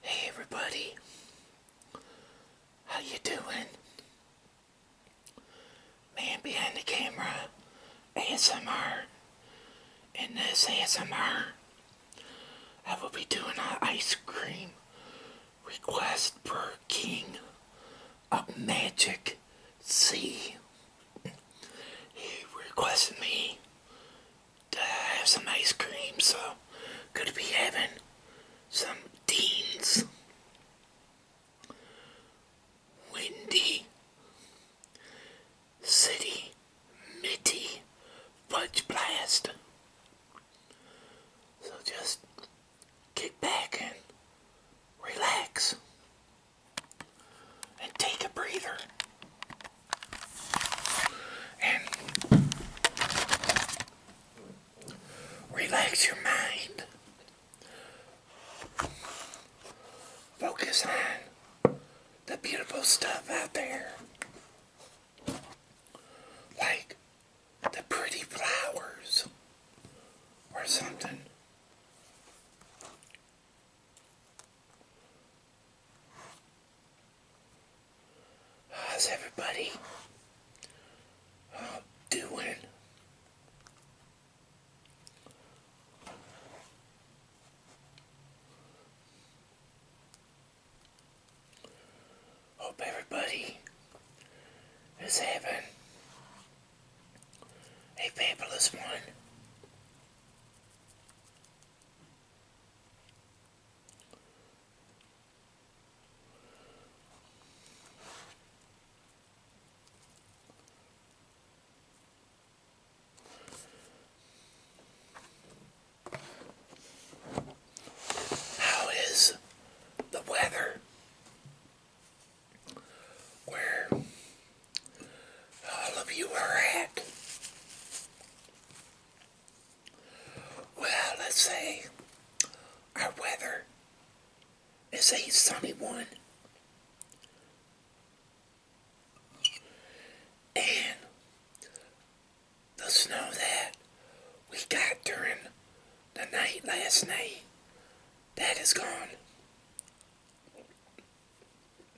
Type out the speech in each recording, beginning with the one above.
Hey everybody, how you doing? Man behind the camera, ASMR. In this ASMR, I will be doing an ice cream request for King of Magic C. He requested me to have some ice cream, so going to be having some Dean's Windy City Mitty Fudge Blast. So just kick back and relax and take a breather and relax your mind. Focus on the beautiful stuff out there. Like the pretty flowers or something. How's everybody doing? Hope everybody is heaven. a fabulous one. How is the weather where all of you are at? Well, let's say our weather is a sunny one. And the snow that we got during the night last night, that is gone.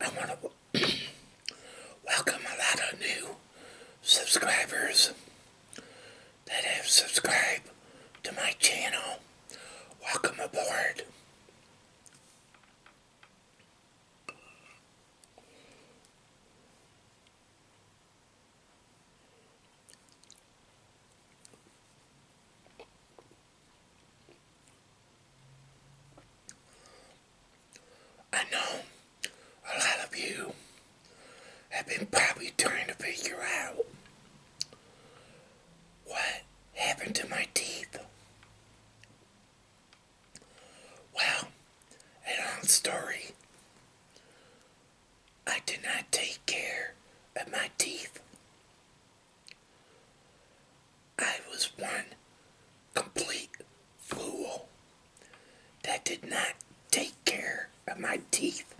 I want to welcome a lot of new subscribers that have subscribed to my channel. Welcome aboard. I know a lot of you have been probably trying to figure out what happened to my teeth? Well, long story. I did not take care of my teeth. I was one complete fool that did not take care of my teeth.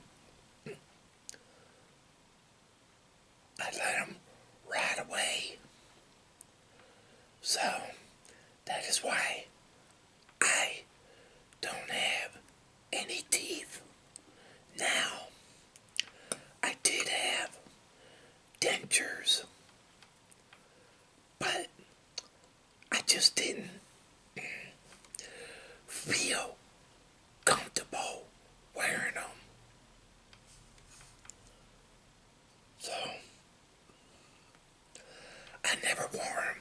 I let him ride away. So that is why I don't have any teeth. Now, I did have dentures, but I just didn't feel comfortable wearing them. So, I never wore them.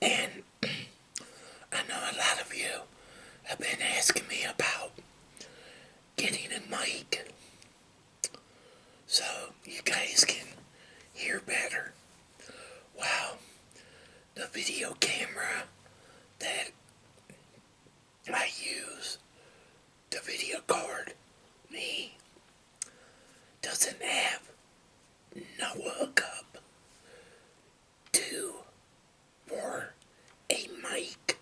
And I know a lot of you have been asking me about getting a mic so you guys can hear better. Wow, the video camera that I use, the video card, me, doesn't have no hookup to or a mic.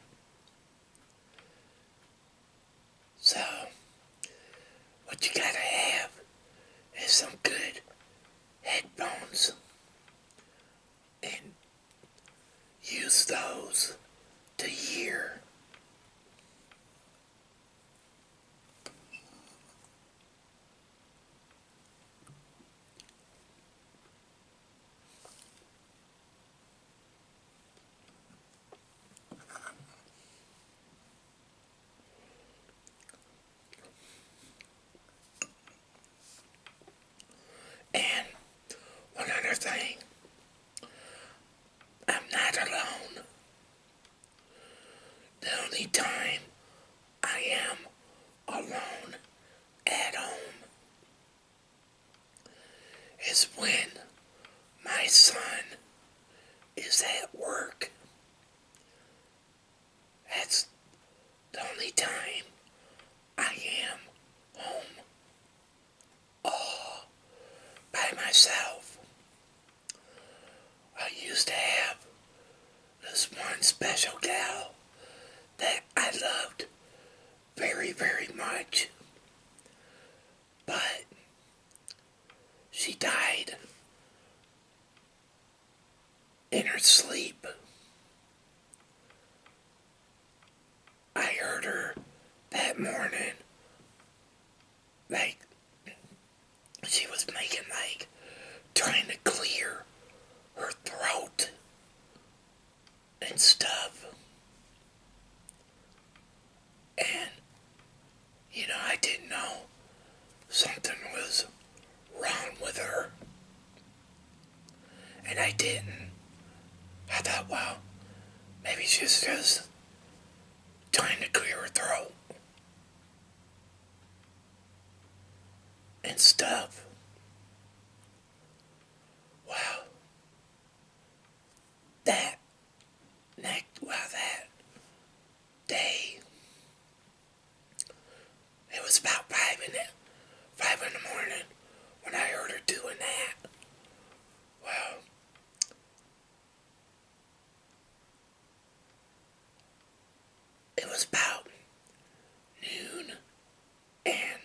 So, what you gotta have is some good headphones and use those to hear. And one other thing, I'm not alone. The only time I am alone at home is when my son is at work that's the only time I am home all by myself. I used to have this one special gal that I loved very, very much, but she died in her sleep. I heard her that morning, like, she was making, like, trying to clear her throat and stuff. And you know, I didn't know something was wrong with her. And I didn't. I thought, "Wow, maybe she's just trying to clear her throat. And stuff. Wow. That, next, wow, that day it was about five in the five in the morning when I heard her doing that. Well, it was about noon, and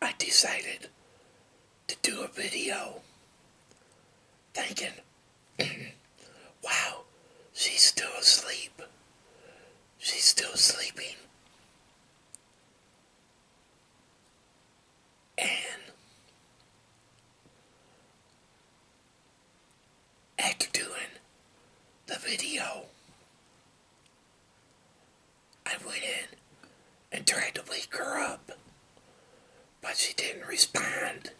I decided to do a video thinking, wow, she's still asleep. She's still sleeping. And after doing the video, I went in and tried to wake her up but she didn't respond.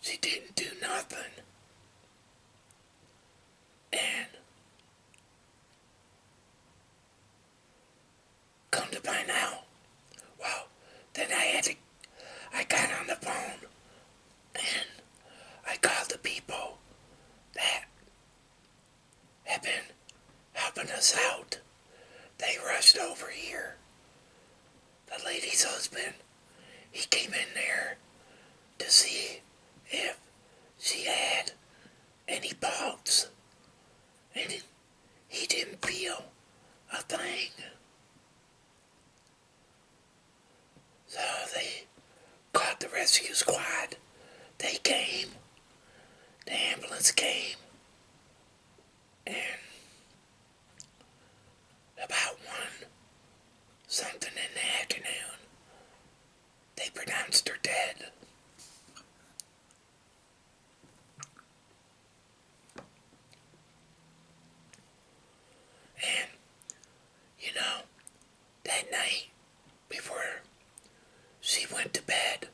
She didn't do nothing. And come to find out, well, then I had to, I got on the phone and I called the people that have been helping us out. They rushed over here the lady's husband, he came in there to see if she had any pulse. And he didn't feel a thing. So they called the rescue squad. They came. The ambulance came. And about one something in the afternoon, they pronounced her dead. And, you know, that night before she went to bed,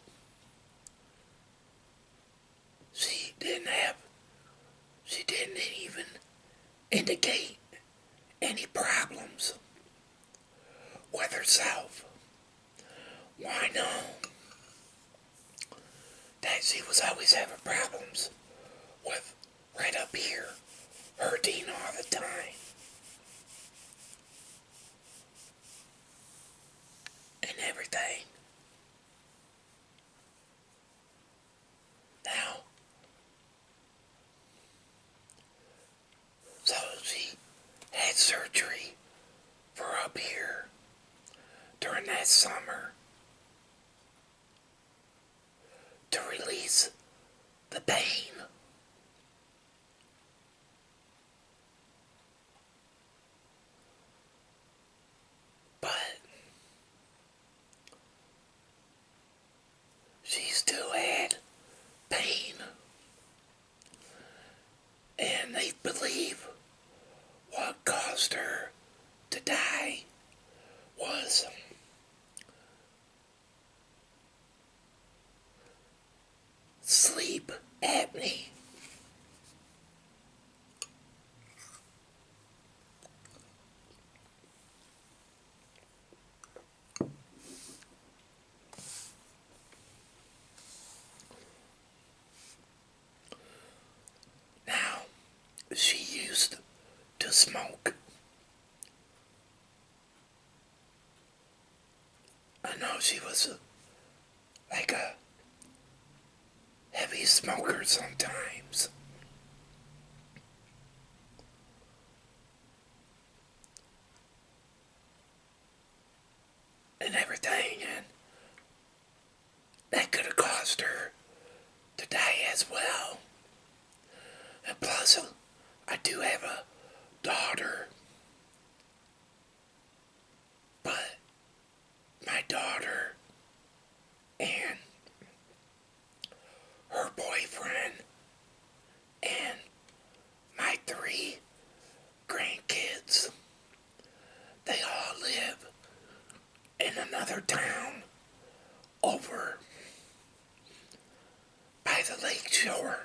she didn't have, she didn't even indicate any problems with herself. Why not? That she was always having problems with right up here, hurting all the time. And everything. Now, so she had surgery for up here during that summer to release the pain. But she still had pain. And they believe what caused her to die was sleep apnea. Now, she used to smoke I know she was like a heavy smoker sometimes. And everything, and that could have caused her to die as well. And plus, uh, I do have a daughter. But my daughter and her boyfriend and my three grandkids. They all live in another town over by the lake shore.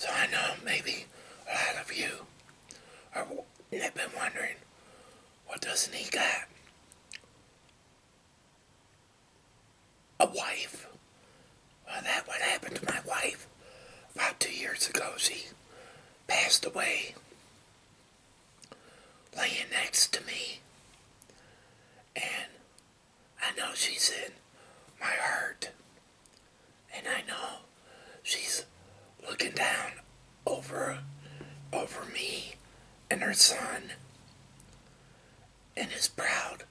So I know maybe a lot of you are i have been wondering, what doesn't he got a wife? Well, that what happened to my wife about two years ago. She passed away laying next to me. And I know she's in my heart and I know she's looking down over over me and her son and is proud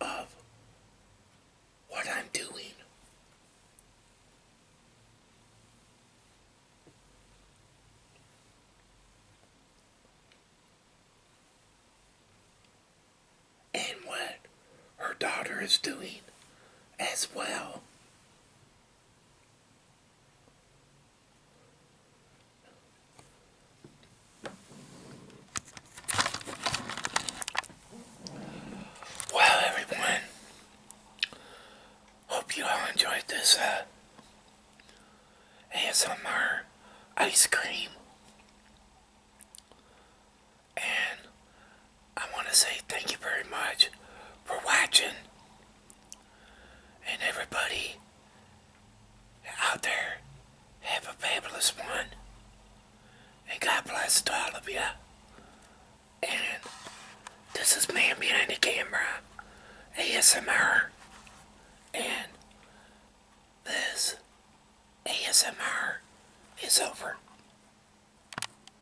of what I'm doing. And what her daughter is doing as well. Well, everyone, hope you all enjoyed this uh, ASMR ice cream. And I want to say thank you very much for watching. And everybody out there, have a fabulous one. And God bless all of you. And this is me Behind the Camera, ASMR. And this ASMR is over.